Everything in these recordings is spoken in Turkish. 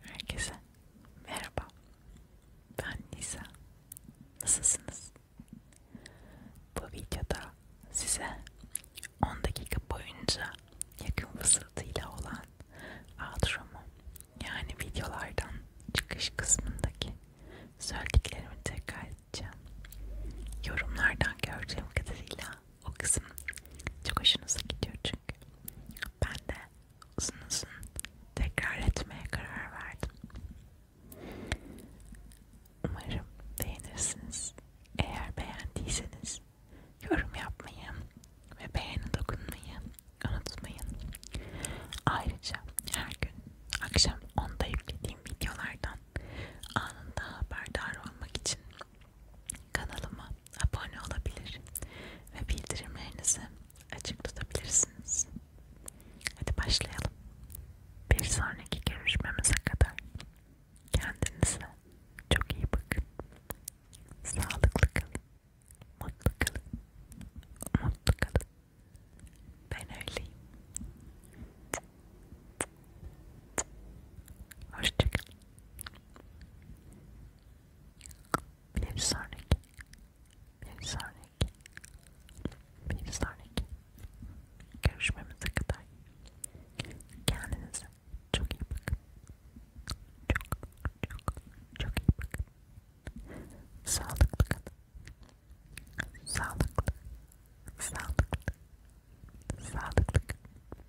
Herkese merhaba. Ben Nisa. Nasılsınız? Bu videoda size 10 dakika boyunca yakın fısıltıyla olan outro'mu yani videolardan çıkış kısmındaki söylediklerimi tekrar edeceğim. Yorumlardan gördüğüm kadarıyla o kısım çok hoşunuza gidiyor çünkü. Ben de uzun uzun tekrar etmeye karar verdim. Umarım beğenirsiniz. Eğer beğendiyseniz yorum yapmayı ve beğeni dokunmayı unutmayın. Ayrıca her gün akşam 10'da yüklediğim videolardan anında haberdar olmak için Kanalıma abone olabilir ve bildirimlerinizi açık tutabilirsiniz. Hadi başlayalım. Bir sonraki görüşmemize kadar kendinize çok iyi bakın. Sağlıklı kalın. Mutlu kalın. Mutlu kalın. Ben öyleyim. Hoşçakalın. Blue Sonic, Blue Sonic, Blue Sonic. Görüşmemize kadar kendinize çok iyi bakın. Çok çok çok iyi bakın. Sağlıklı Sağlıklı. Sağlıklı. Sağlıklı.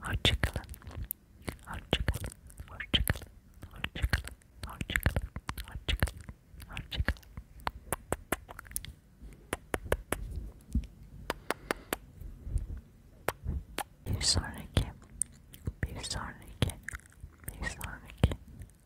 Hoşçakalın. Hoşçakalın. Hoşçakalın. Hoşçakalın. Hoşçakalın. Hoşçakalın. Hoşçakalın. Bir sonraki, bir sonraki, bir sonraki,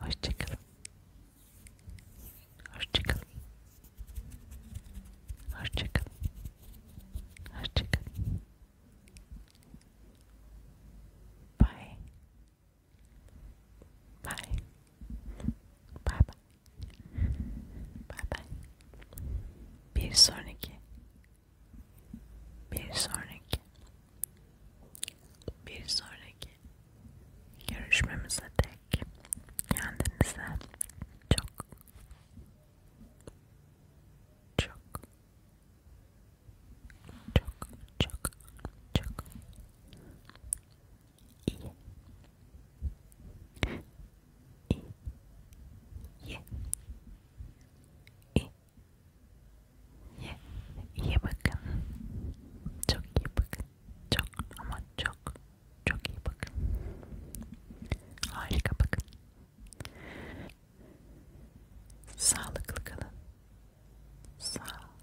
Hoşçakalın. Hoşçakalın. Hoşçakalın. Hoşçakalın. Bye. Bye. Bye bye. Bye bye. Bir sonraki. Bir sonraki. Bir sonraki. Görüşmemize dek kendinize çok çok çok çok çok iyi iyi ye iyi ye iyi bakın çok iyi bakın çok ama çok çok iyi bakın harika bakın sağlıklı kalın sağlık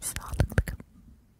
sağlıklı kalın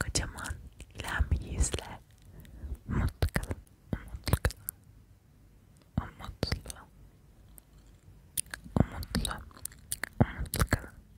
Kocaman lem yüzle mutlu kalın, umutlu kalın, umutlu, umutlu, umutlu kalın.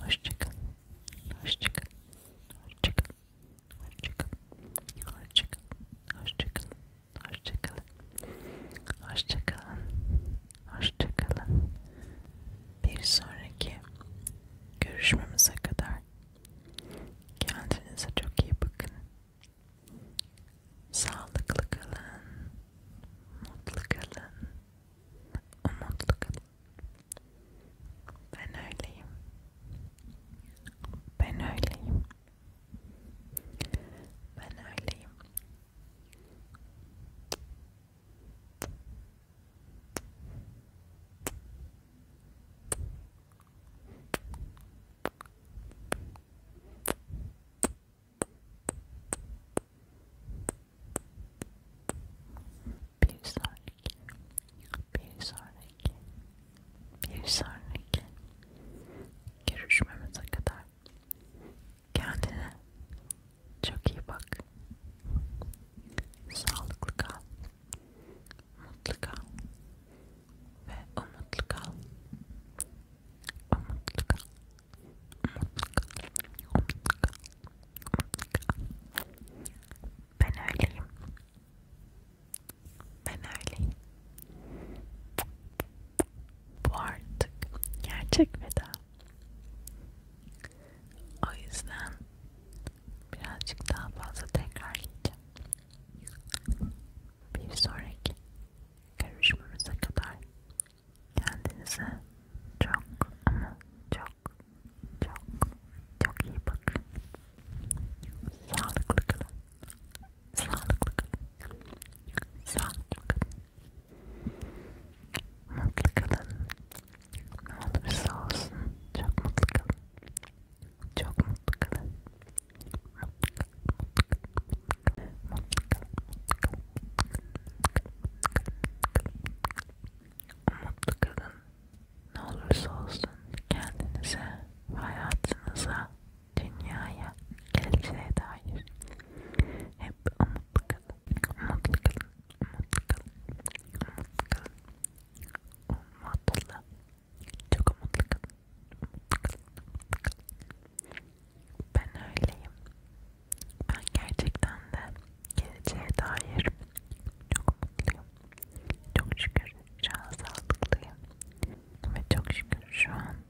Hoşçakalın. Hoşçakalın. Hoşçakalın. Hoşçakalın. Hoşçakalın. Hoşçakalın. Hoşçakalın. Hoşçakalın. Hoşçakalın. Bir sonraki görüşmemize kadar kendinize çok iyi bakın. Sağlıklı kalın, mutlu kalın, umutlu kalın. Ben öyleyim. Ben öyleyim. Ben öyleyim. Bir sonraki, bir sonraki, bir sonraki görüşmemize kadar Kendine çok iyi bak. Sağlıklı kal. Mutlu kal. Ve umutlu kal. Umutlu kal. Umutlu kal. Umutlu kal. Umutlu kal. Ben öyleyim. Ben öyleyim. Bu artık gerçek veda. O yüzden birazcık daha fazla tekrarlayacağım. Bir sonraki görüşmemize kadar kendinize çok ama çok çok çok iyi bakın. Sağlıklı kalın. sağlıklı kalın. Sağlıklı kalın. Ne olursa olsun çok mutlu kalın. Çok mutlu kalın. Mutlu kalın. Mutlu kalın. Mutlu kalın. Umutlu kalın. Ne olursa olsun kendinize, hayatınıza dünyaya geleceğe dair hep umutlu kalın, umutlu kalın, umutlu kalın, umutlu kalın, umutlu kalın, çok umutlu kalın, umutlu kalın, umutlu kalın. Ben öyleyim. Ben gerçekten de geleceğe dair çok umutluyum. Çok şükür şu an sağlıklıyım ve çok şükür şu an